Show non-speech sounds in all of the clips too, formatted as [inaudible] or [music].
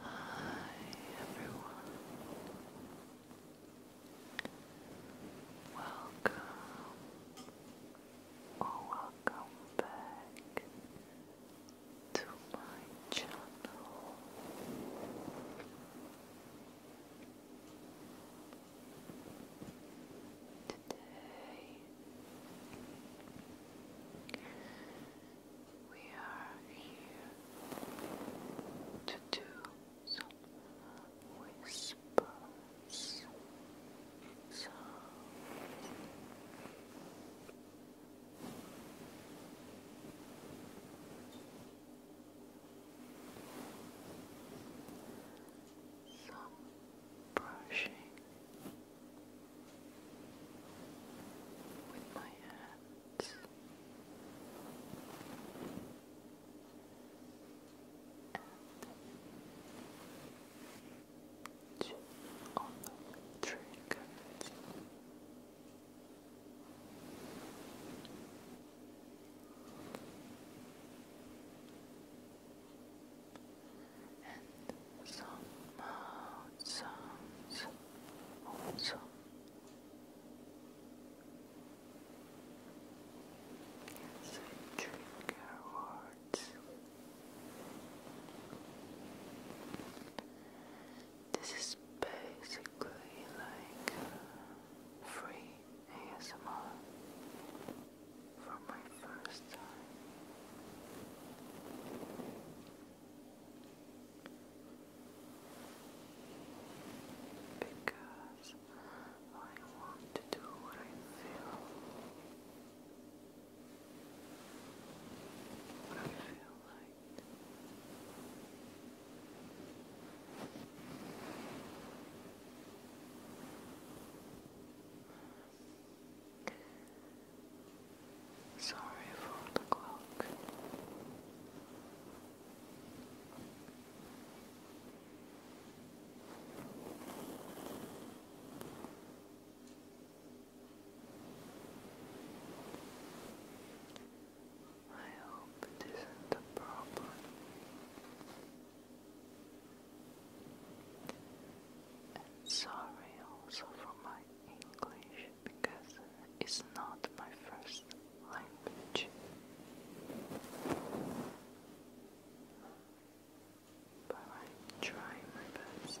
Hi. everyone. Welcome or welcome back to my channel. Today we are here to do some whispers. some brushing with my hands. And on the triggers and some mouth sounds also. Yes, I trigger words. This is basically like uh, free ASMR for my first time. Because I want to do what I feel. What I feel like. Sorry for the clock. I hope it isn't a problem. And sorry also for my English because it's not my first language. But I try my best.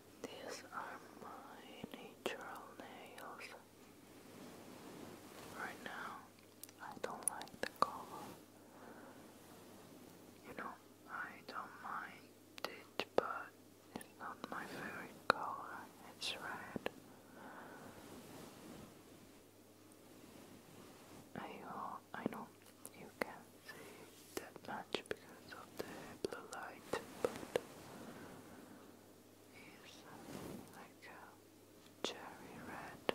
These are my natural nails. Right now, I don't like the color. You know, I don't mind it, but it's not my favorite color. It's red. I, uh, I know you can't see that much because the blue light, but is like a cherry red,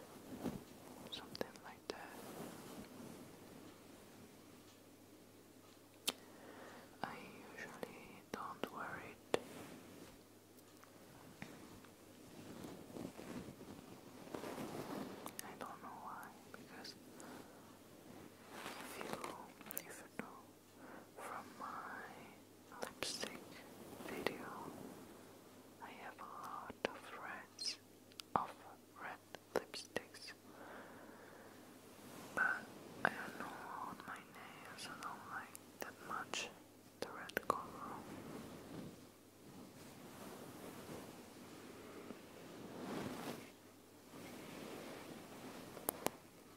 something like that. I usually don't wear it. I don't know why, because if you, if you do from my lipstick video. I have a lot of reds of red lipsticks, but I don't know on my nails. I don't like that much the red color.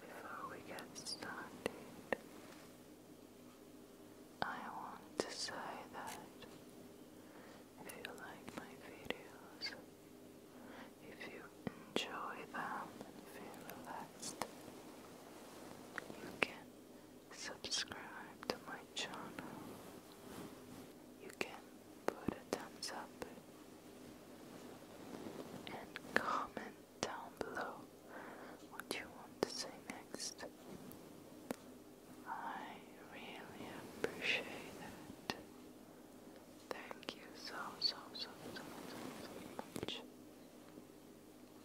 Before we get started, I want to say that if you like my videos, if you enjoy them and feel relaxed, you can subscribe to my channel. You can put a thumbs up and comment down below what you want to say next. I really appreciate it. Thank you so, so, so, so, so, so much.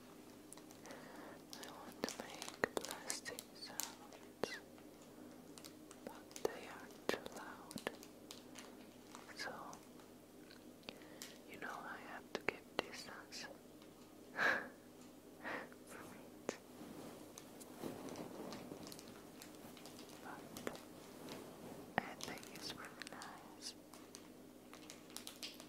I want to make plastic sounds, but they are too loud. So, you know, I have to keep distance from it. But it's really nice.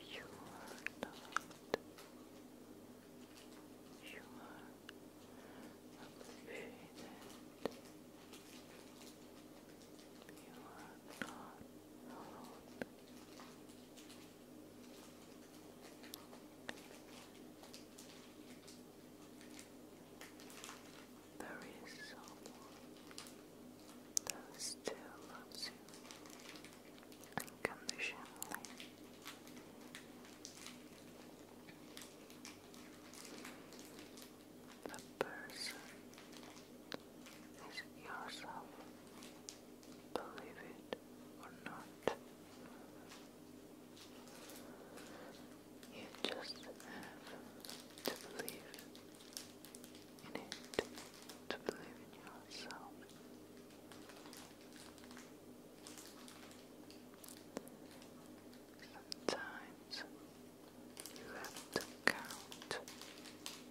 You are loved. You are appreciated. You are not alone. You there is someone that still loves you unconditionally. The person is yourself, believe it or not. You just have to believe in it, to believe in yourself. Sometimes you have to count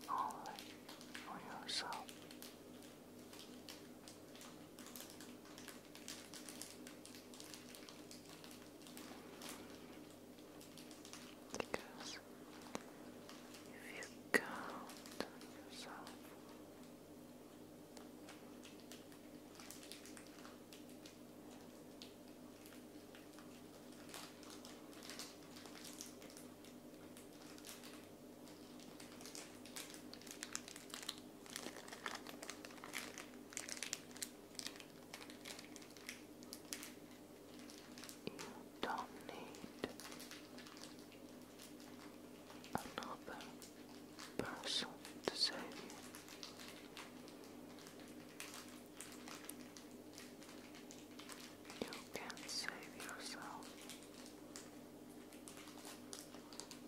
only on yourself. Because if you count yourself, you don't need another person to save you. You can save yourself.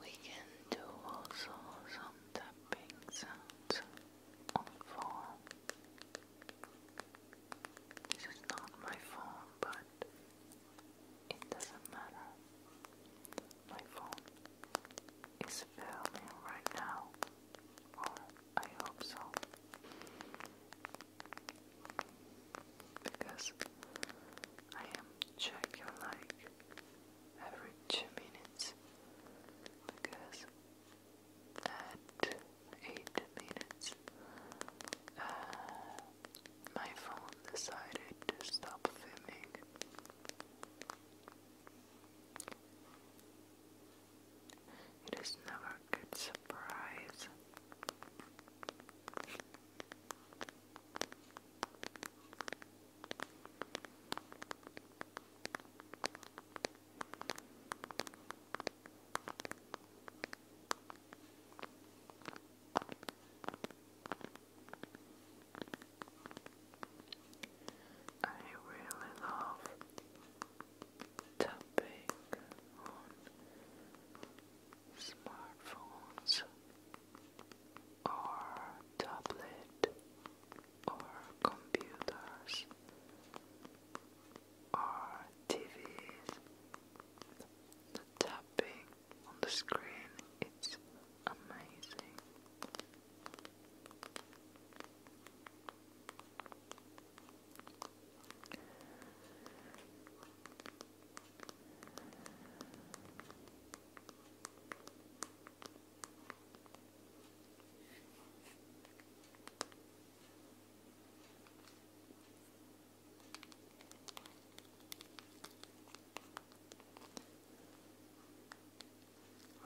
We can do also some tapping sounds on the This is not my phone, but it doesn't matter. My phone is filming right now, I hope so. Because I am checking like every two minutes because at 8 minutes, uh, my phone decided to stop filming. It is never a good surprise. I really love tapping on smartphones or tablet or computers or TVs. The tapping on the screen it's amazing.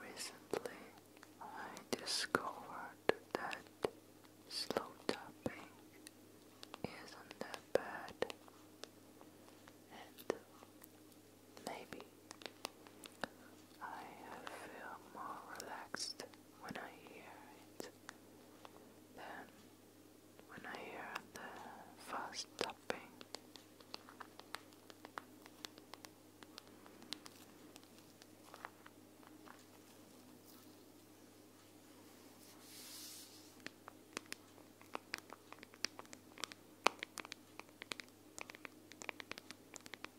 Recently, I discovered that slow tapping isn't that bad, and Maybe. I feel more relaxed when I hear it than when I hear the fast tapping.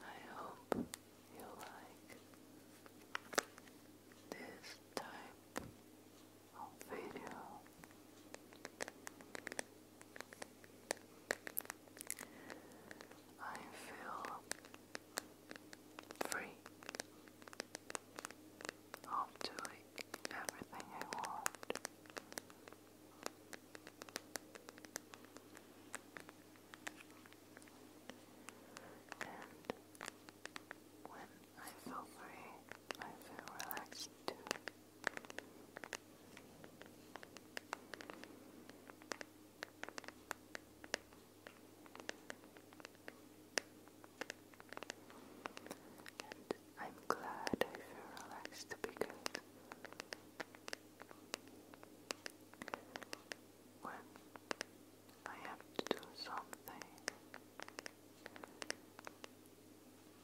I hope you like this type I feel free of doing everything I want. And when I feel free, I feel relaxed too. And I'm glad I feel relaxed because when I have to do something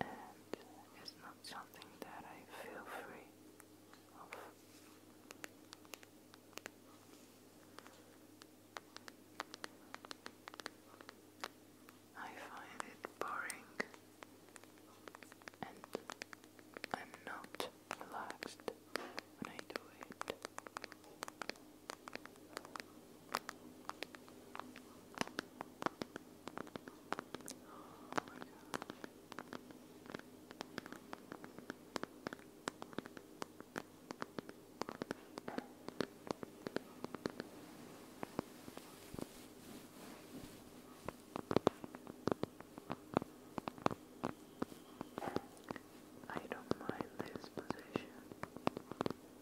and it's not something that I feel free of. I find it boring and I'm not relaxed when I do it. I don't mind this position.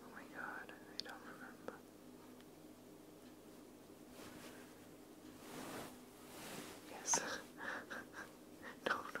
Oh my god, I don't remember. Yes. [laughs] no, no.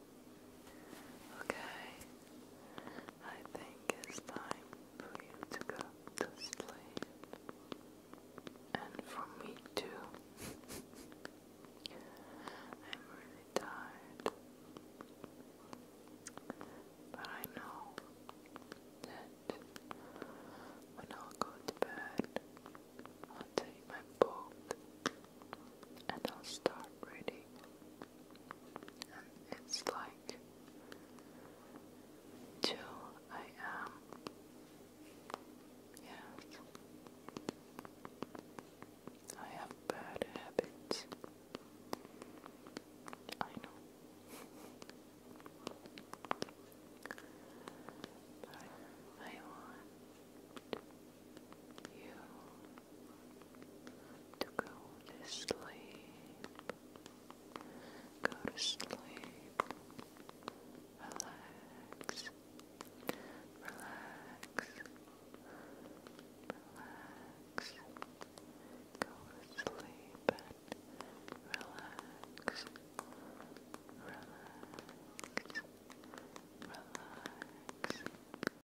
Okay, I think it's time for you to go to sleep, and for me too. [laughs] I'm really tired, but I know that when I'll go to I'll take my book and I'll start reading and it's like two AM. Yes. I have bad habits. I know. but I want you to go to sleep. Go to sleep. Relax. Relax. Relax. Go to sleep and relax. Relax. Relax.